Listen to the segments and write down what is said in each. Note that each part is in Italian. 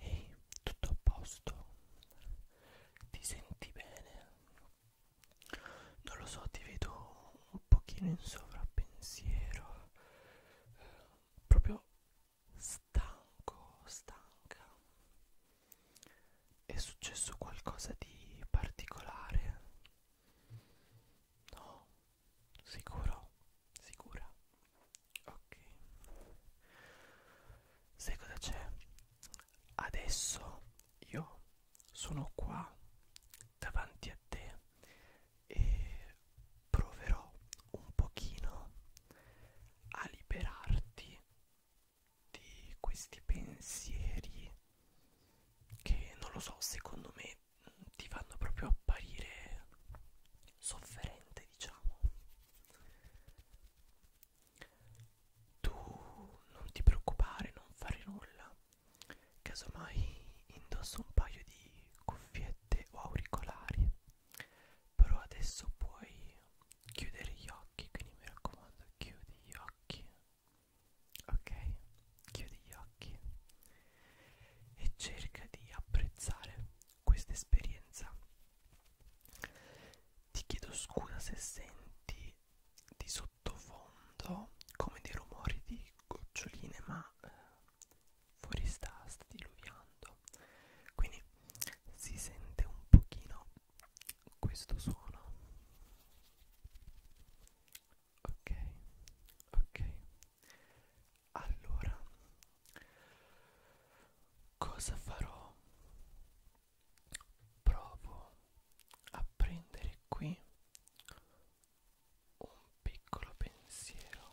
Ehi, tutto a posto? Ti senti bene? Non lo so, ti vedo un pochino in sovrappensiero, proprio stanco, stanca. È successo qualcosa di particolare? No, sicuro, sicura. Ok. Sai cosa c'è? Adesso io sono qua davanti a te e proverò un pochino a liberarti di questi pensieri che non lo so, secondo me mm, ti fanno proprio apparire sofferente, diciamo. Tu non ti preoccupare, non fare nulla. Casomai indosso un paio di cuffiette o auricolari. Però adesso puoi chiudere gli occhi, quindi mi raccomando, chiudi gli occhi. Ok, chiudi gli occhi e cerca di apprezzare questa esperienza. Ti chiedo scusa se senti di sottofondo come dei rumori di goccioline, ma eh, fuori sta, sta diluviando. Quindi si sente un pochino questo suono ok ok allora cosa farò provo a prendere qui un piccolo pensiero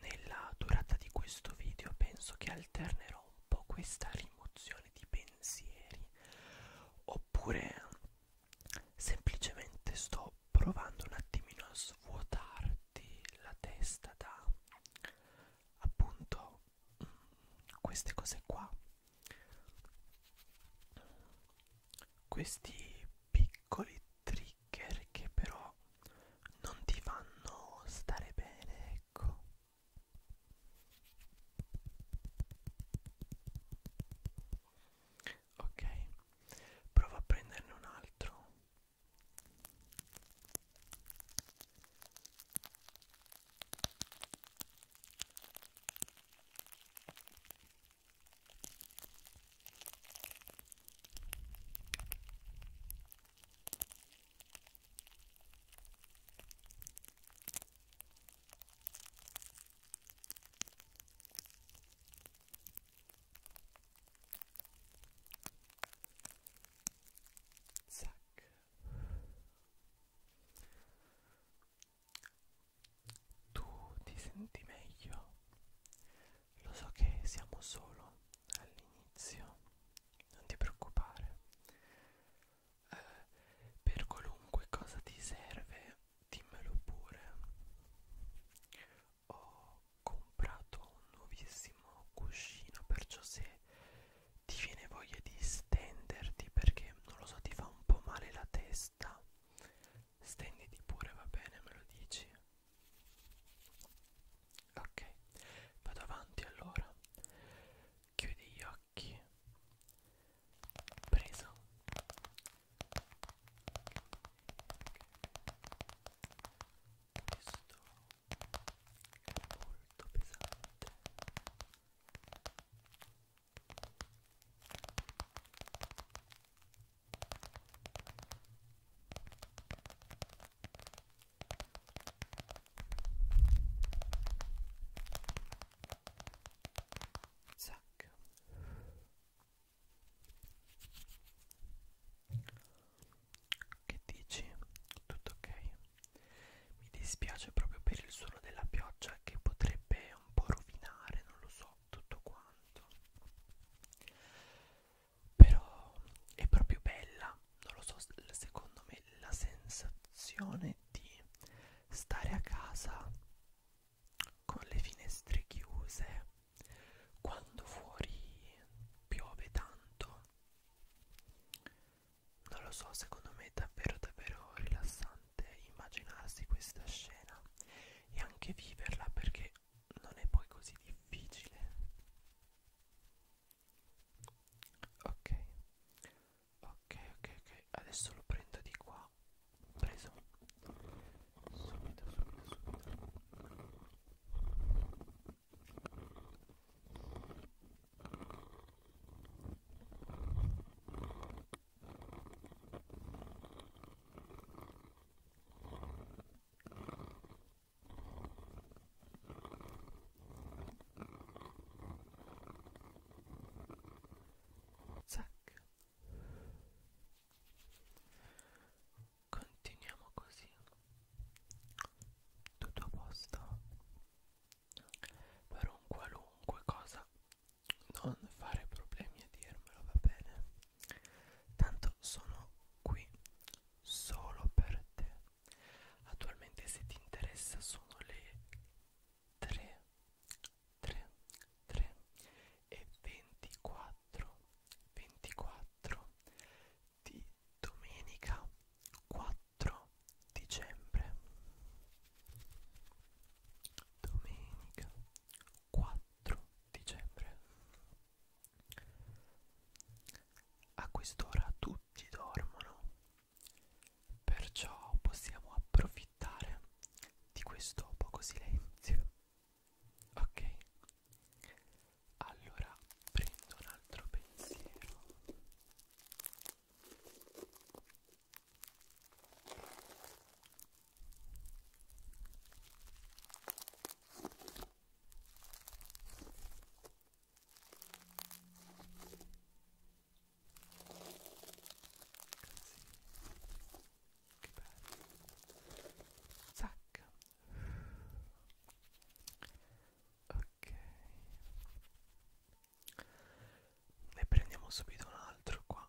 nella durata di questo video penso che alternerò un po' questa rimozione di pensieri oppure semplicemente sto provando un attimino a svuotarti la testa da appunto mm, queste cose qua questi piccoli trigger che però non ti fanno stare bene, ecco. Ok, prova a prenderne un altro. Zac. Tu ti senti meglio? Lo so che siamo solo all'inizio non ti preoccupare. Eh, per qualunque cosa ti serve, dimmelo pure. Ho comprato un nuovissimo cuscino, perciò se ti viene voglia di stenderti perché non lo so, ti fa un po' male la testa, stenditi pure, va bene, me lo dici ok vado avanti allora chiudi gli occhi presa questo è molto pesante ok Zac. Che dici? Tutto ok? Mi dispiace proprio per il suono della pioggia che potrebbe un po' rovinare, non lo so, tutto quanto però è proprio bella non lo so secondo me la sensazione di stare a casa con le finestre chiuse quando fuori piove tanto non lo so secondo me è davvero davvero rilassante immaginarsi questa scena e anche viverla perché non è poi così difficile ok ok ok ok adesso lo prendo di qua preso subito subito subito ok Zac. Continuiamo così. Tutto a posto. Per un qualunque cosa non fare problemi a dirmelo, va bene? Tanto sono qui solo per te. Attualmente se ti interessa sono le 3, 3, 3 e 24, 24 di domenica 4 dicembre. Domenica 4 dicembre a quest'ora tutti dormono, perciò possiamo approfittare di questo poco silenzio. Ok, allora prendo un altro pensiero che bello Zac ok ne prendiamo subito un altro qua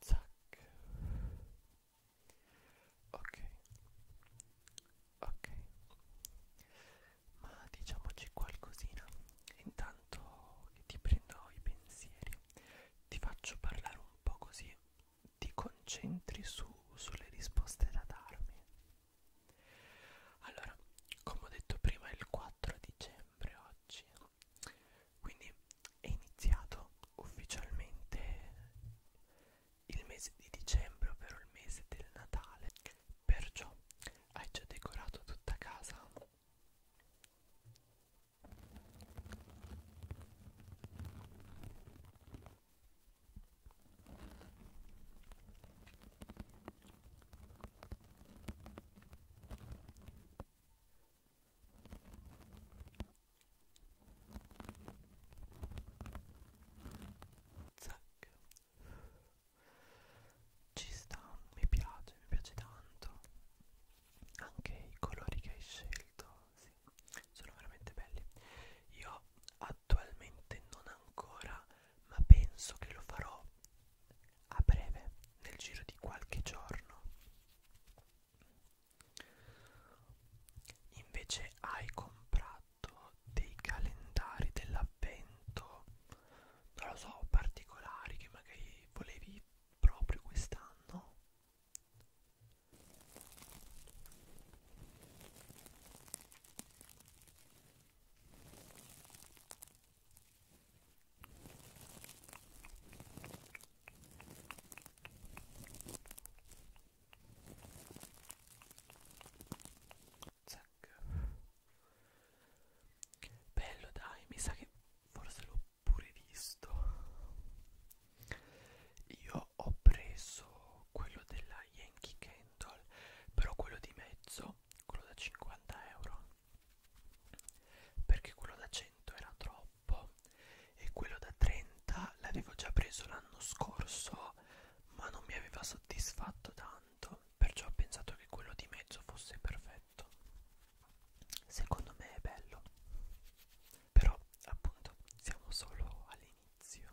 Zac. Ok. Ok. Ma diciamoci qualcosina. Intanto che ti prendo i pensieri, ti faccio parlare un po' così ti concentri su, sulle risposte da darmi. Allora, come ho detto prima, il quadro 4 dicembre oggi quindi è iniziato ufficialmente il mese di dicembre ovvero il mese del Natale perciò hai già decorato tutta casa Zac. Ci sta, mi piace, mi piace tanto. Anche i colori che hai scelto, sì, sono veramente belli. Io attualmente non ancora ma penso che lo farò a breve, nel giro di qualche giorno. Invece hai comprato dei calendari dell'avvento, non lo so, particolari che magari volevi proprio quest'anno. Zac. Bello dai, mi sa che forse l'ho pure visto. Io ho preso quello della Yankee Candle, però quello di mezzo, quello da 50 euro perché quello da 100 era troppo e quello da 30 l'avevo già preso l'anno scorso ma non mi aveva soddisfatto tanto perciò ho pensato che quello di mezzo fosse perfetto secondo me è bello però appunto siamo solo all'inizio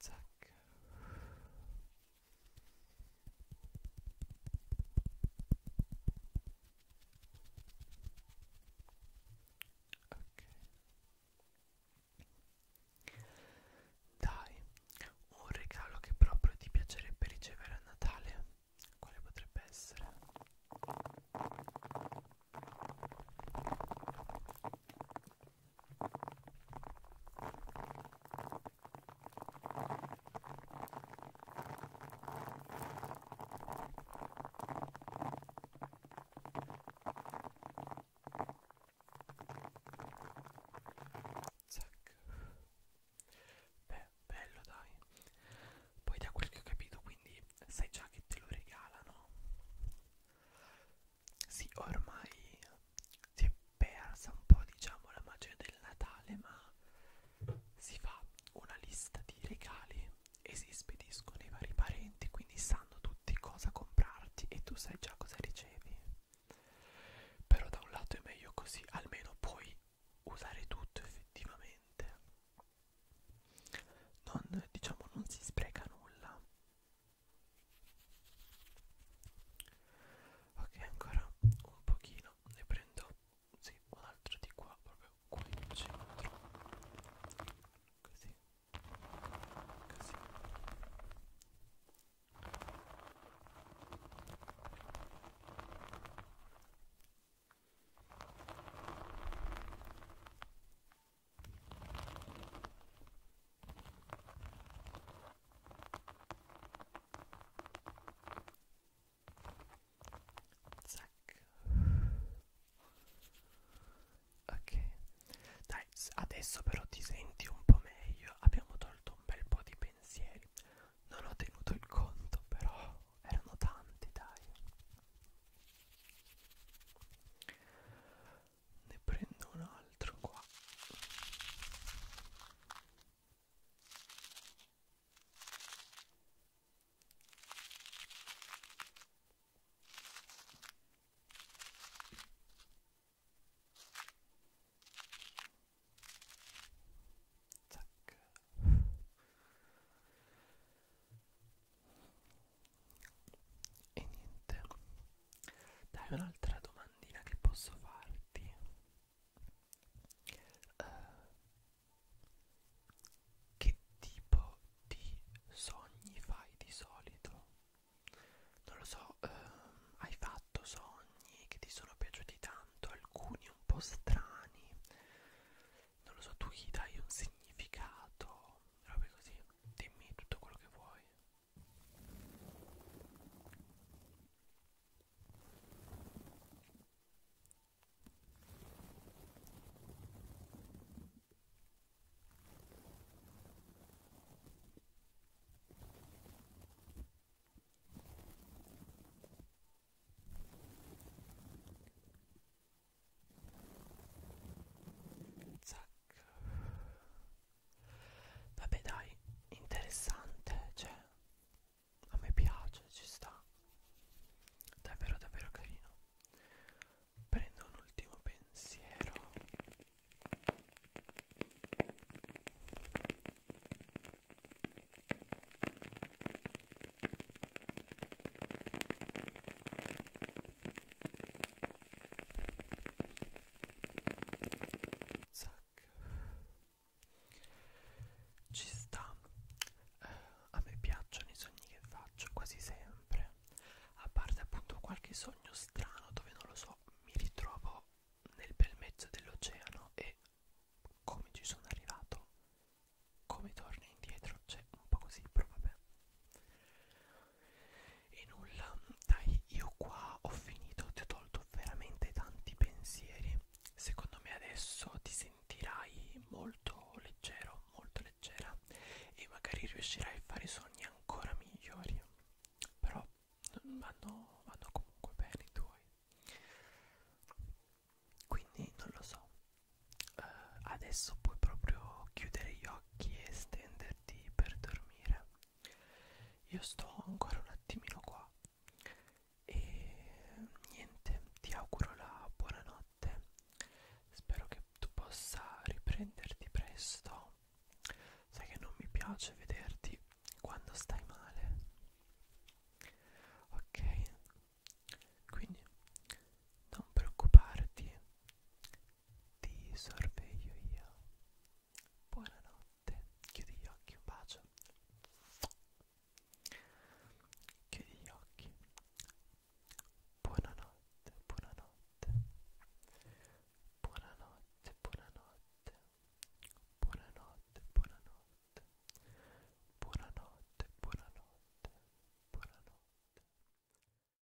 Zac. Ok. Dai, un regalo che proprio ti piacerebbe ricevere a Natale. Quale potrebbe essere? Zac. Beh, bello dai. Poi da quel che ho capito, quindi sai già che te lo regalano. Sì, ormai si è persa un po', diciamo, la magia del Natale, ma si fa una lista di regali e si spediscono i vari parenti, quindi sanno tutti cosa comprarti e tu sai già cosa ricevi. Però da un lato è meglio così, almeno puoi usare tutto effettivamente. Non diciamo non si spreca nulla ok ancora un pochino ne prendo sì un altro di qua proprio qui in centro così così ok Zac. Ok, dai, adesso però ti senti un po' meglio. Abbiamo tolto un bel po' di pensieri. Non ho tenuto il conto, però erano tanti, dai ne prendo un altro qua Tac. E niente. Dai, un'altra domandina che posso farti. Uh, che tipo di sogni fai di solito? Non lo so, uh, hai fatto sogni che ti sono piaciuti tanto, alcuni un po' strani. Non lo so, tu gli dai un significato, robe così. Dimmi tutto quello che vuoi. Zac. Vabbè dai, interessante, cioè a me piace, ci sta. Davvero davvero carino. Prendo un ultimo pensiero. Zac. Ci sta. Eh, a me piacciono i sogni che faccio quasi sempre. A parte appunto qualche sogno strano dove non lo so, mi ritrovo nel bel mezzo dell'oceano e come ci sono arrivato, come torno indietro, cioè un po' così, però vabbè e nulla dai io qua ho finito ti ho tolto veramente tanti pensieri secondo me adesso ti sentirai molto leggero molto leggera e magari riuscirai a fare sogni ancora migliori però vanno, vanno comunque bene i tuoi quindi non lo so uh, adesso puoi proprio chiudere gli occhi e stendere certi per dormire io sto ancora un attimino qua e niente ti auguro la buonanotte spero che tu possa riprenderti presto sai che non mi piace vederti quando stai male ok quindi non preoccuparti ti sorveglio io. Buonanotte, chiudi gli occhi, un bacio. Chiudi gli occhi. Buonanotte, buonanotte. Buonanotte, buonanotte. Buonanotte, buonanotte. Buonanotte, buonanotte. Buonanotte.